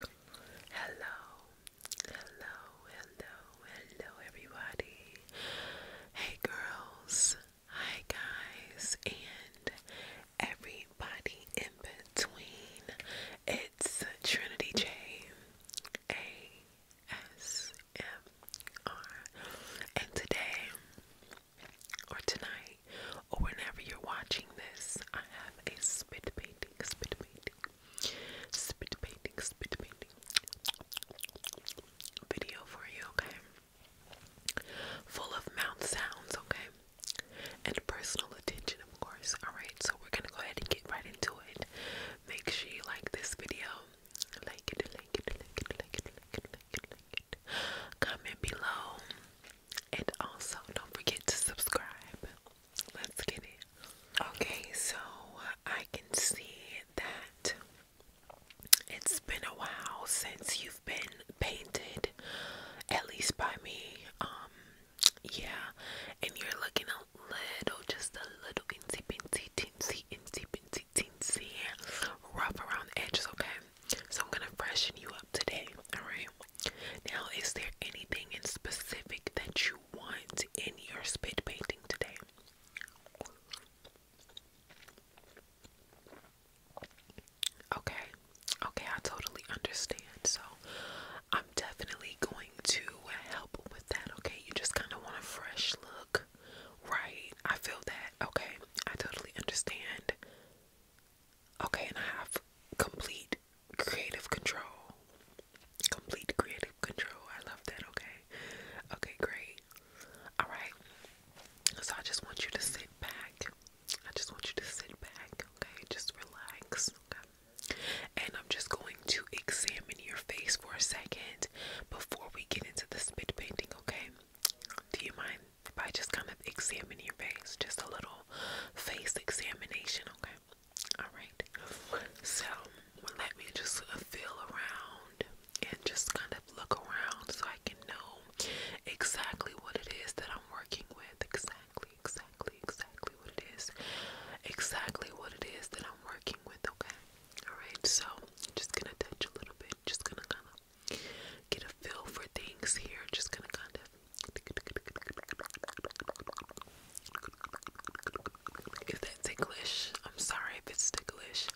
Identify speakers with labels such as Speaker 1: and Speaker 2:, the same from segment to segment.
Speaker 1: Hello, hello, hello, hello, everybody. Hey, girls. Hi, guys, and everybody in between. It's Trinity J A S M R, and today or tonight or whenever you're watching this, I have a spit painting, spit painting, spit painting, spit painting video for you, okay? Full of mouth sounds, okay? And personal attention, of course. Alright, so we're gonna go ahead and get right into it. Make sure you like this video. Like it, like it, like it, like it, like it, like it, like it. Comment below. And also don't forget to subscribe. Let's get it. Okay, so I can see that it's been a while since you've been painted, at least by me. Um, yeah, and you're looking a little, just a little insy pincy, teensy, insy pincy, teensy, rough around the edges, okay? So I'm gonna freshen you up today, alright? Now, is there anything in specific that you want in your spit painting today? Okay, okay, I totally understand. So, I'm definitely going to help with that. Okay, you just kind of want a fresh look, right? I feel that. Okay, I totally understand. Okay, and a half complete creative control. Complete creative control. I love that, okay? Okay, great. Alright. So I just want you to sit back. I just want you to sit back, okay? Just relax, okay? And I'm just going to examine your face for a second before we get into the spit painting, okay? Do you mind if I just kind of examine your face? Just a little face examination, okay? all right so let me just uh, feel around and just kind of look around so I can know exactly what it is that I'm working with exactly exactly exactly what it is exactly what it is that I'm working with okay all right so I'm just gonna touch a little bit just gonna kind of get a feel for things here just gonna kind of if that's ticklish, I'm sorry if it's ticklish.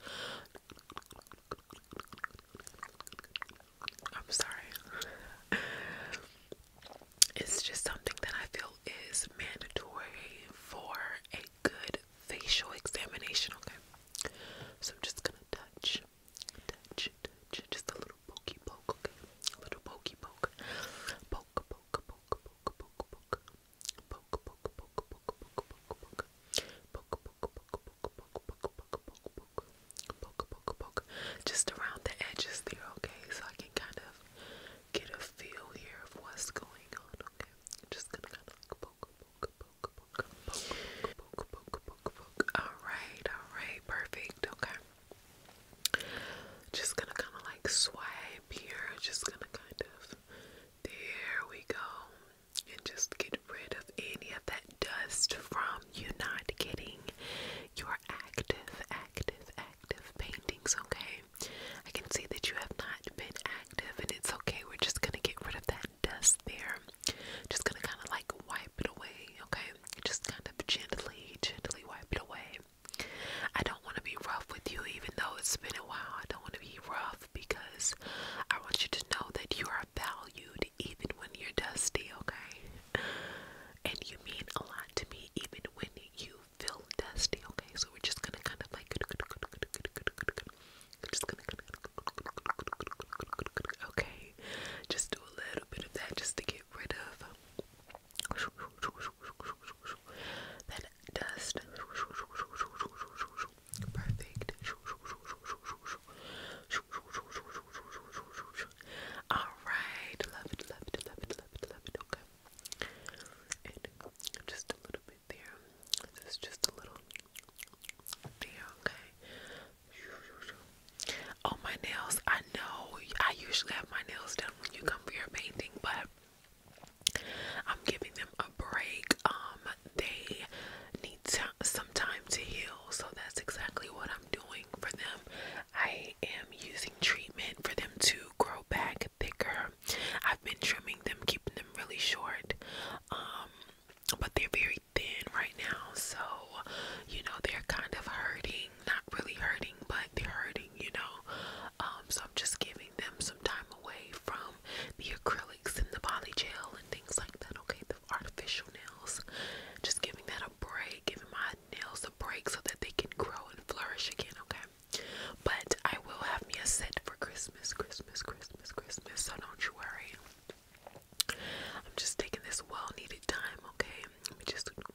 Speaker 1: I'm sorry. it's just something that I feel is mandatory for a good facial examination, okay? So I'm just gonna touch, touch, touch, just a little pokey poke, okay? A little pokey poke, poke, just around the edges there, okay? So I can kind of get a feel here of what's going on, okay? Just gonna kind of All right, all right, perfect, okay. Just gonna kind of like swipe here, just gonna kind of, there we go, and just get rid of any of that dust from you not getting your active, active, active paintings, okay? I can see that you have not been active, and it's okay, we're just gonna get rid of that dust there. Just gonna kind of like wipe it away, okay? Just kind of gently, gently wipe it away. I don't want to be rough with you, even though it's been a while. I don't want to be rough because I want you to know that you are valued even when you're dusty, okay? And you mean a lot to me even when you feel dusty, okay? So we're just gonna kind of like. we just gonna. Okay, just do a little bit of that just to get rid of that dust. Perfect. Alright. Love it, love it, love it, love it, love it. Okay. just a little bit there. This just a little there, okay. Oh my nails. I know I usually have my nails done when you come for your painting, but I'm giving them a break. Um, they need some time to heal, so that's exactly what I'm doing for them. I am using treatment for them to grow back thicker. I've been trimming them, keeping them really short. Um, but they're very thin right now, so you know they're kind of hurting not really hurting, but they're hurting, you know. Um, so I'm just giving them some time away from the acrylics and the poly gel and things like that, okay? The artificial nails, just giving that a break, giving my nails a break so that they can grow and flourish again, okay? But I will have me a set for Christmas, Christmas, Christmas, Christmas, so don't you worry. I'm just taking this well needed time, okay? Let me just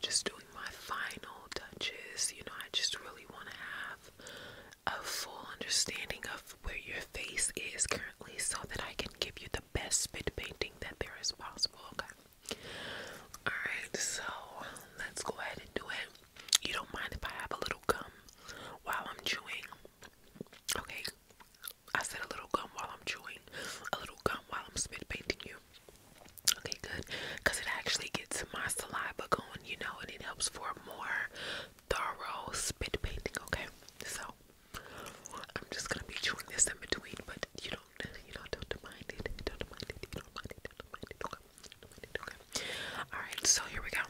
Speaker 1: just doing my final touches. You know, I just really want to have a full understanding of where your face is currently so that I can give you the best spit painting that there is possible. Okay. Alright, so let's go ahead and do it. You don't mind if I have a little gum while I'm chewing. Okay. I said a little gum while I'm chewing, a little gum while I'm spit painting you. Okay, good. Because it actually gets my saliva going, you know, and it helps for more thorough spit painting, okay? So, I'm just going to be chewing this in between, but you don't, you know, don't mind it. Don't mind it. You don't mind it. Don't mind it. Okay. Don't mind it. Okay. All right, so here we go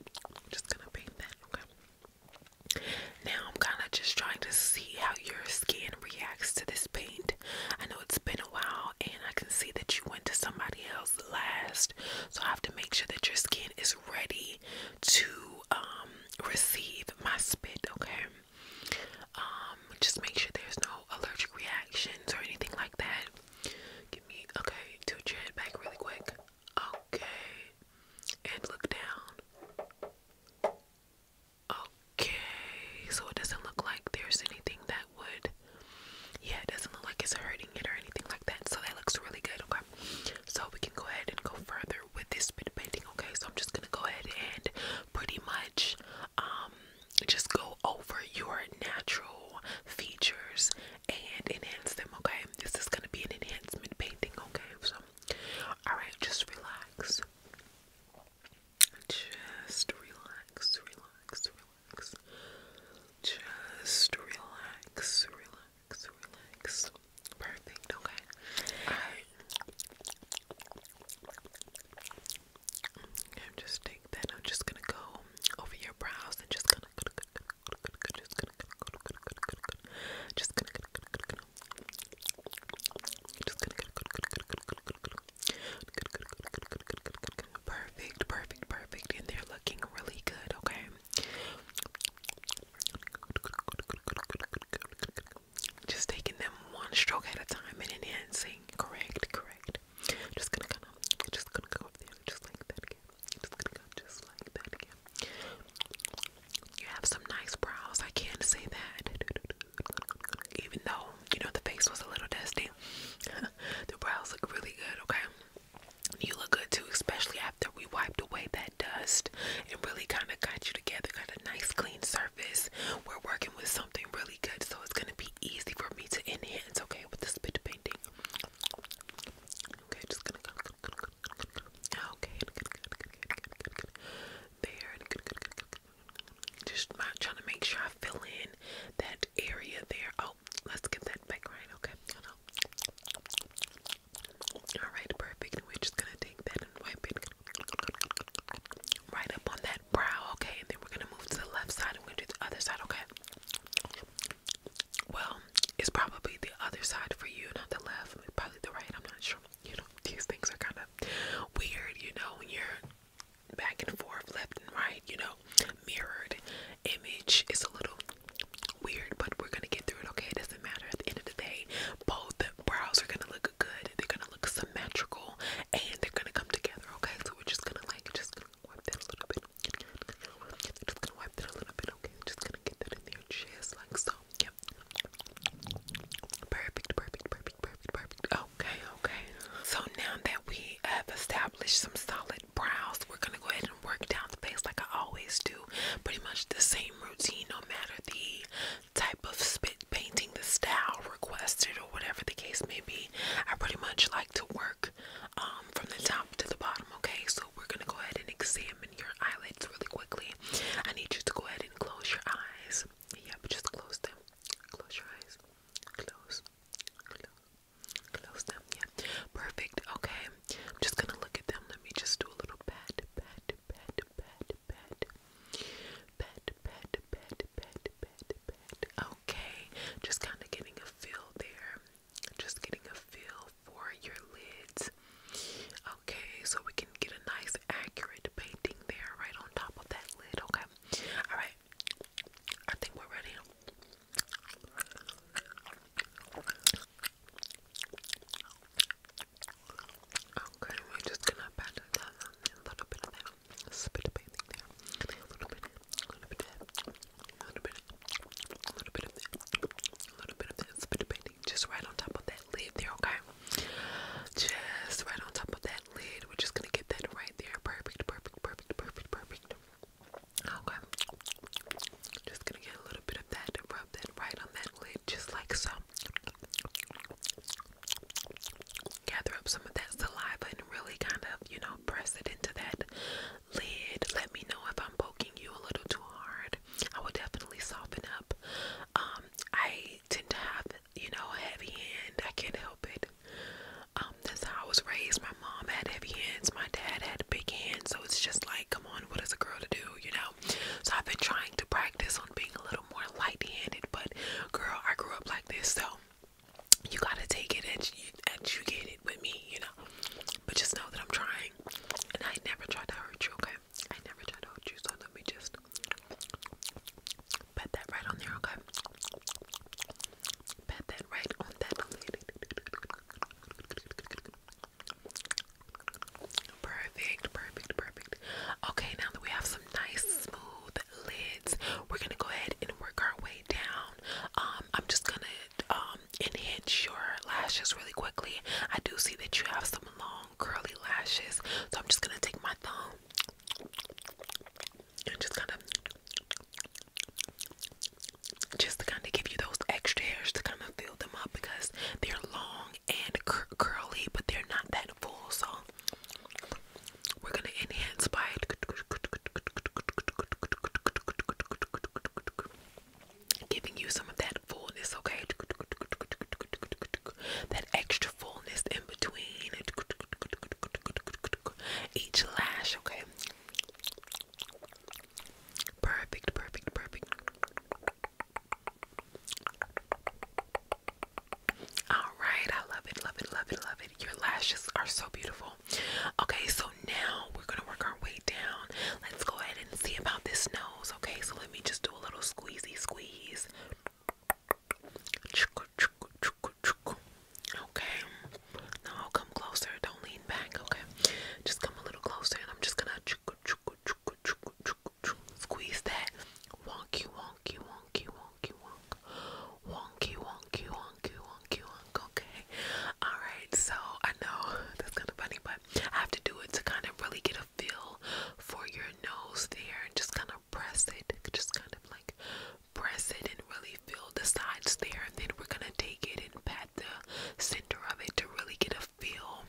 Speaker 1: i just gonna paint that, okay? Now I'm kind of just trying to see how your skin reacts to this paint. I know it's been a while and I can see that you went to somebody else last, so I have to make sure that your skin is ready to um, receive my spit, okay? Um, just make sure there's no allergic reactions or anything like that. Give me, okay, two chin back really quick. Okay, and look down. Okay, so it doesn't look like there's anything that would, yeah, it doesn't look like it's hurting it or anything like that. So that looks really good, okay? So we can go ahead and go further with this bit of painting, okay? So I'm just gonna go ahead and pretty much, um, just go over your natural features and enhance them, okay? This is gonna be an enhancement painting, okay? So, all right, just relax. Just relax, relax, relax. Just relax, relax, relax. Perfect, okay? All right. I'm just take I'm just gonna go over your brows and just gonna just gonna perfect, perfect, perfect, and they're looking really good, okay? Just taking them one stroke at a time and enhancing, correct, correct i just gonna kind of, just gonna go up there, just like that again. just gonna go just like that again. You have some nice brows. I can't say that. Even though you know the face was a little dusty, the brows look really good. Okay. You look good too, especially after we wiped away that dust and really kind of got you together. Got a nice clean surface. We're working with something really good, so it's gonna be easy for me to enhance. Okay, with the spit painting. Okay, just gonna go. Okay, good, good, good, good, There, Just trying to make sure I fill in that area there. Oh, let's get that back right. Okay, All right, perfect. we're just gonna take that and wipe it right up on that brow. Okay, and then we're gonna move to the left side. and We're do the other side. Okay. Well, it's probably the other side for you, not the left, probably the right. I'm not sure. You know, these things are kind of weird, you know, when you're back and forth, left and right, you know, mirrored image is a little weird, but we're gonna get through it, okay? It doesn't matter. At the end of the day, both brows are gonna look good, they're gonna look symmetrical, and they're gonna come together, okay? So we're just gonna like just gonna wipe that a little bit, just gonna wipe that a little bit, okay? Just gonna get that in there just like so. Yep. Perfect, perfect, perfect, perfect, perfect. Okay, okay. So now that we have established some solid brows, we're gonna go ahead and work down the face like I always do. Pretty much the same routine, no matter the type of spit painting, the style requested, or whatever the case may be. I pretty much like to work um, from the top to the bottom, okay? So we're gonna go ahead and examine your eyelids really quickly. I need you to go ahead and close your eyes. Yep, just close them. Close your eyes. Close. Close. Close them. Yeah. Perfect. Okay. I'm just gonna look at them. Let me just do a little pat, pat, pat, pat, pat. Pat, pat, pat, pat, pat, pat. Okay. Just kind of getting a feel there just getting a feel for your lids. Okay, so we can get a nice accurate painting there right on top of that lid, okay? Alright, I think we're ready. Okay, we're just gonna pat a little bit of that A little bit, a little bit of that a little bit, a little bit of this, a little bit of this, a bit of painting, just right on top of that lid there, okay? Just right on top of that lid. We're just gonna get that right there. Perfect, perfect, perfect, perfect, perfect. Okay. Just gonna get a little bit of that and rub that right on that lid, just like so. Gather up some of that saliva and really kind of, you know, press it into that lid. Let me know if I'm poking you a little too hard. I will definitely soften up. Um, I tend to have, you know, heavy hand. I can't help it. Um, that's how I was raised. My mom had heavy hands. My dad had big hands. So it's just like, come on, what is a girl to do, you know? So I've been trying to practice on being a little more light-handed. But girl, I grew up like this, so you gotta take it and you educate it with me, you know. But just know that I'm trying, and I never tried to hurt you. Okay, I never tried to hurt you. So let me just pet that right on there. Okay, pet that right on that. Perfect, perfect, perfect. Okay, now that we have some nice smooth lids, we're gonna go ahead and work our way down. Um, I'm just gonna um enhance your lashes really quickly. I do see that you have some long curly lashes, so I'm just gonna take my thumb and just kind of just to kind of give you those extra hairs to kind of fill them up because they're long and curly, but they're not that full. So we're gonna enhance by Giving you some of that fullness, okay? That extra fullness in between each lash, okay? Perfect, perfect, perfect. All right, I love it, love it, love it, love it. Your lashes are so beautiful beautiful. Okay, so now we're gonna work our way down. Let's go ahead and see about this nose. Okay, so let me just do a little squeezy squeeze. Okay, now I'll come closer. Don't lean back. Okay, just come a little closer, and I'm just gonna squeeze that wonky, wonky, wonky, wonky, wonk, wonky, wonky, wonky, wonky, wonk. Okay, all right, so I know that's kind of funny, but I have to do it to kind of really get a feel for your nose there and just kind of press it, just kind of like press it and really feel the sides there. And then we're gonna take it and pat the center of it to really get a feel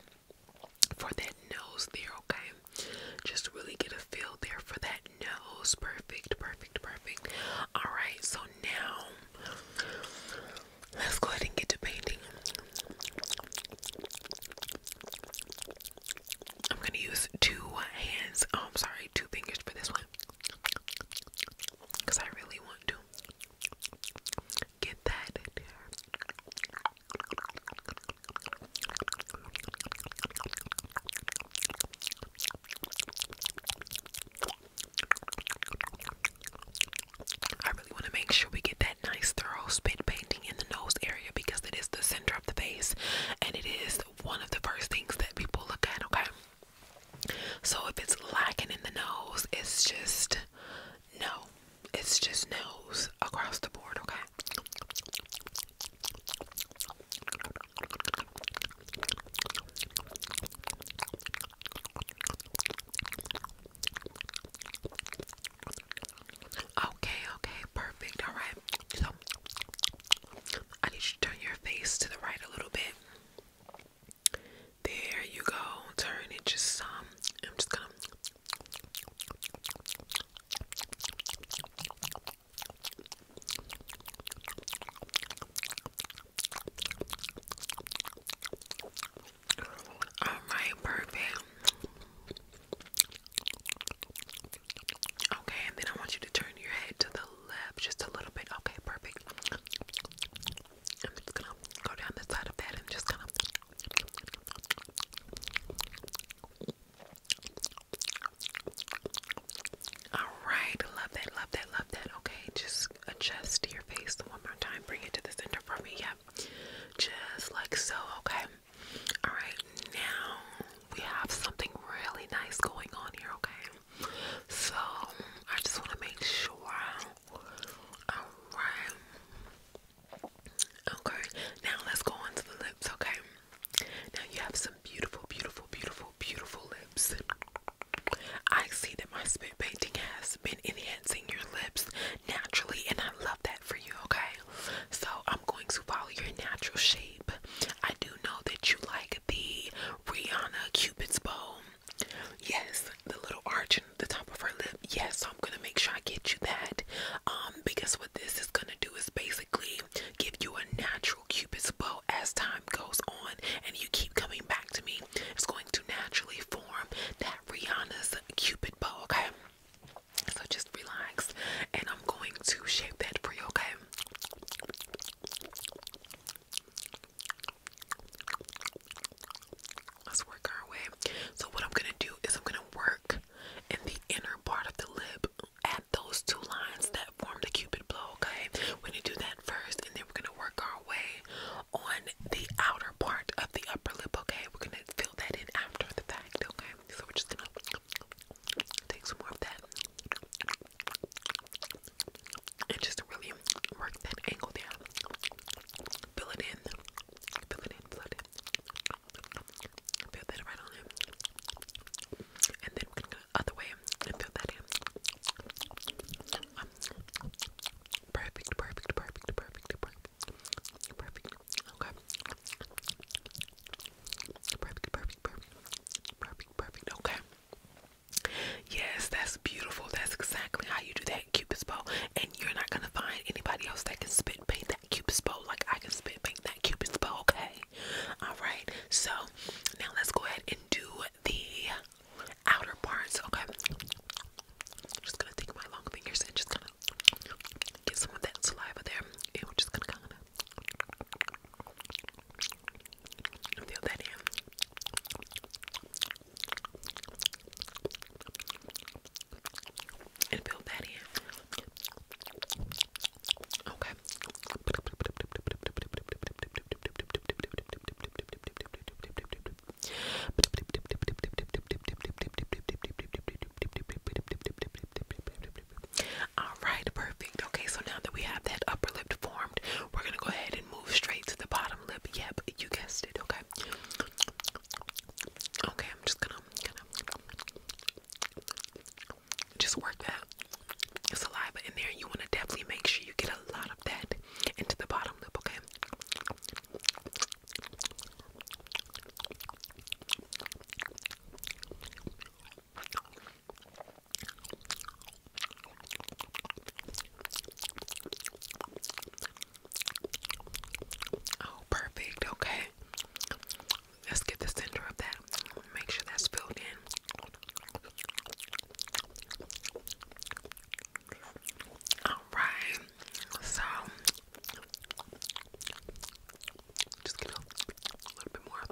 Speaker 1: for that nose there, okay? Just really get a feel there for that nose. Perfect, perfect, perfect. All right, so now Let's go ahead and get to painting. I'm gonna use two hands. Oh, I'm sorry, two fingers for this one. Because I really want to get that I really want to make sure we get that nice thorough spit painting in the nose area because it is the center of the face and it is one of the first things that people look at, okay? So if it's lacking in the nose, it's just no. It's just nose across the board, okay? Okay, okay, perfect. All right, so I need you to turn your face to the right a little bit. There you go. Turn it just Um, I'm just gonna. All right, perfect. Okay, and then I want you to turn your head to the left just a little bit. Okay, perfect. I'm just gonna go down the side of that and just kind of. All right, love that, love that, love that. Okay, just adjust your face one more time. Bring it to the center for me. Yep. Just like so. Okay. All right. Now we have something really nice going on here. Okay. So I just want to make sure. All right. Okay. Now let's go on to the lips. Okay. Now you have some beautiful, beautiful, beautiful, beautiful lips. I see that my spit painting has been enhancing your lips naturally, and I love that for you, okay? So, I'm going to follow your natural shape. I do know that you like the Rihanna Cupid's bow. Yes, the little arch in the top of her lip. Yes, so I'm gonna make sure I get you that. Um, because what this is gonna do is basically give you a natural Cupid's bow as time goes on, and you keep coming back to me. It's going to naturally form that Rihanna's cupid bow, okay? So just relax and I'm going to shape that for you, okay? Let's work our way. So what I'm gonna do is I'm gonna work in the inner part of the lip at those two lines that form the cupid blow, okay? We're gonna do that first and then we're gonna work our way on the outer part of the upper lip, okay? We're gonna fill that in after the fact, okay? So we're just gonna take some more of that and just really work that angle down. Fill it in, fill it in, fill it in. Fill that right on in. And then we're gonna go the other way and fill that in. Perfect, perfect, perfect, perfect, perfect. Perfect. Okay. Perfect, perfect, perfect. Perfect, perfect. Okay. Yes, that's beautiful. That's exactly how you do that Cupid's bow. And you're not gonna find anybody else that can spit paint that Cupid's bow like I can spit paint that Cupid's bow, okay? Alright, so now let's go ahead and do the outer parts. Okay, just gonna take my long fingers and just gonna get some of that saliva there, and we're just gonna kind of feel that in. And build that in. Okay. All right, perfect. Okay, so now that we have that upper lip formed, we're gonna go ahead and move straight to the bottom lip. Yep, you guessed it. Okay. Okay, I'm just gonna, just work that saliva in there. You want to definitely make sure you get a lot drop that into the bottom lip, okay? Oh, perfect. Okay. Let's get the center of that. Make sure that's filled in. Alright, so just gonna a little bit more.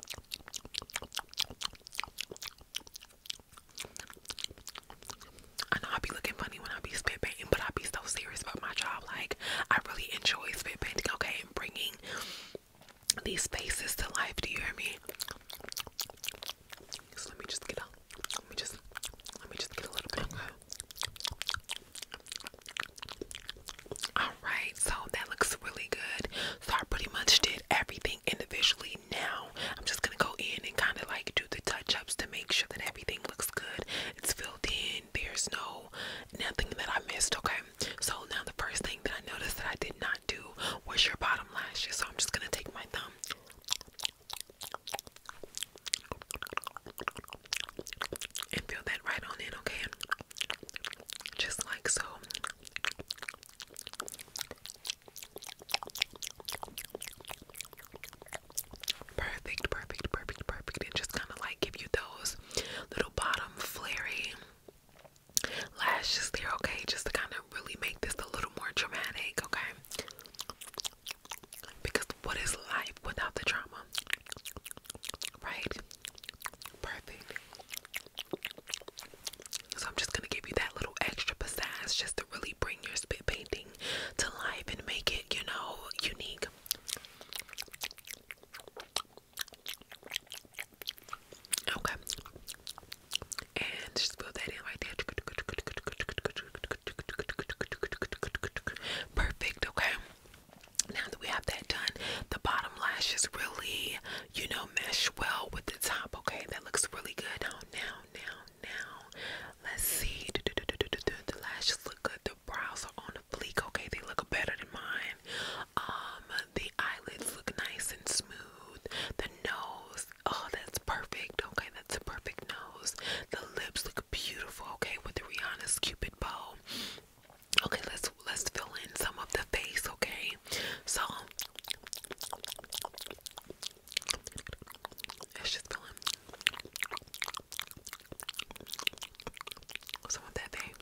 Speaker 1: I know I be looking funny when I be spit painting, but I be so serious about my job. Like I really enjoy spit painting, okay, and bringing these faces to life. Do you hear me? So let me just get out. Let me just let me just get a little bit. Alright, so that looks really good. So I pretty much did everything individually. Now I'm just gonna go in and kind of like do the touch-ups to make sure that everything looks good. It's filled in. There's no nothing that I missed. Okay. So now the first thing that I noticed that I did not do was your bottom lashes. So I'm just gonna take my thumb and feel that right on in, okay? Just like so. Perfect, perfect, perfect, perfect. And just kind of like give you those little bottom flary lashes there, okay? Just to kind of really make this a little more dramatic, okay? Because what is life without the drama? Right? Perfect. So I'm just gonna give you that little extra pizzazz just to really bring your spit painting to life and make it, you know, unique. Okay. And just fill that in right there. Perfect, okay? Now that we have that done, the bottom lash is really, you know, mesh well with the top, okay? That looks really good. Now, now, now, now, let's see. The lashes look good. The brows are on a fleek, okay? They look better than mine. Um, the eyelids look nice and smooth. The nose, oh, that's perfect, okay? That's perfect nose. The lips look beautiful, okay, with the Rihanna's Cupid bow. Okay, let's let's fill in some of the face, okay? So let's just fill in some of that face.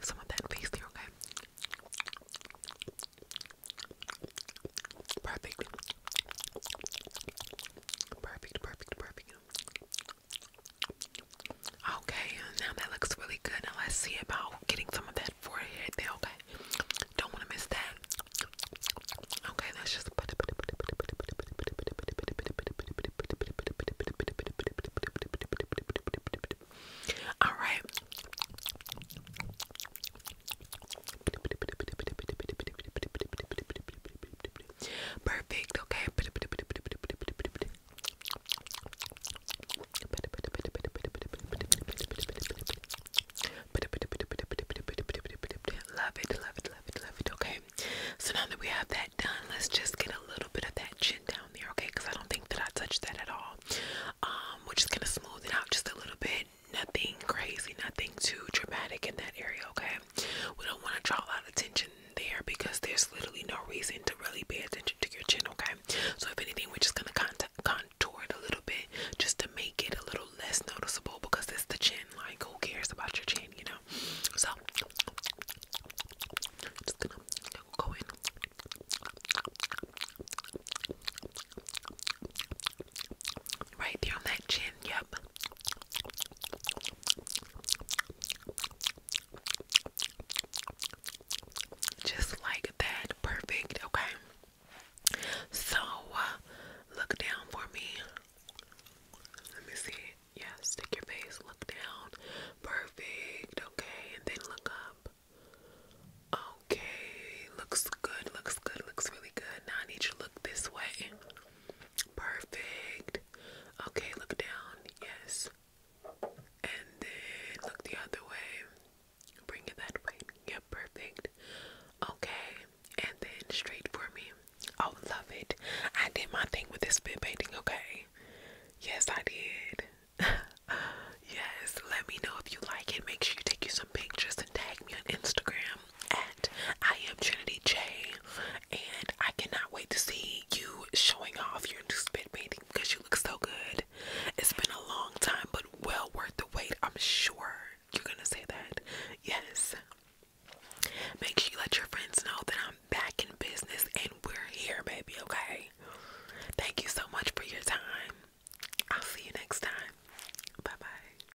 Speaker 1: Some of that face here, okay? Perfect. Perfect, perfect, perfect. Okay, now that looks really good. Now let's see about getting some of that forehead there, okay? Don't want to miss that. Okay, let's just put it. All right. Perfect, okay. Love it, love it, love it, love it, okay. So now that we have that done, let's just get a little bit of that chin down there, okay? Because I don't think that I touched that at all. Um, we're just gonna smooth it out just a little bit nothing crazy, nothing too dramatic in that area, okay? We don't want to draw a lot of attention there because there's literally no reason to really pay attention to your chin, okay? So, if anything, we're just going to contour it a little bit just to make it a little less noticeable because it's the chin. Like, who cares about your chin, you know? So, just gonna go in. Right there on that chin, yep. Just like that, perfect, okay? So, uh, look down for me. Let me see. Yeah, stick your face, look down. Perfect, okay, and then look up. Okay, looks good, looks good, looks really good. Now I need you to look this way. Perfect. Okay, look down. Yes. And then look the other way. Bring it that way. Yeah, perfect. Okay. And then straight for me. Oh, love it. I did my thing with this spit painting, okay? Yes, I did. yes, let me know if you like it. Make sure you take you some pictures and tag me on Instagram at I am Trinity J, and I cannot wait to see you showing off your new spit painting because you look so good. It's been a long time, but well worth the wait. I'm sure you're gonna say that. Yes. Make sure you let your friends know that I'm back in business and we're here, baby. Okay. Thank you so much for your time. I'll see you next time. Bye bye.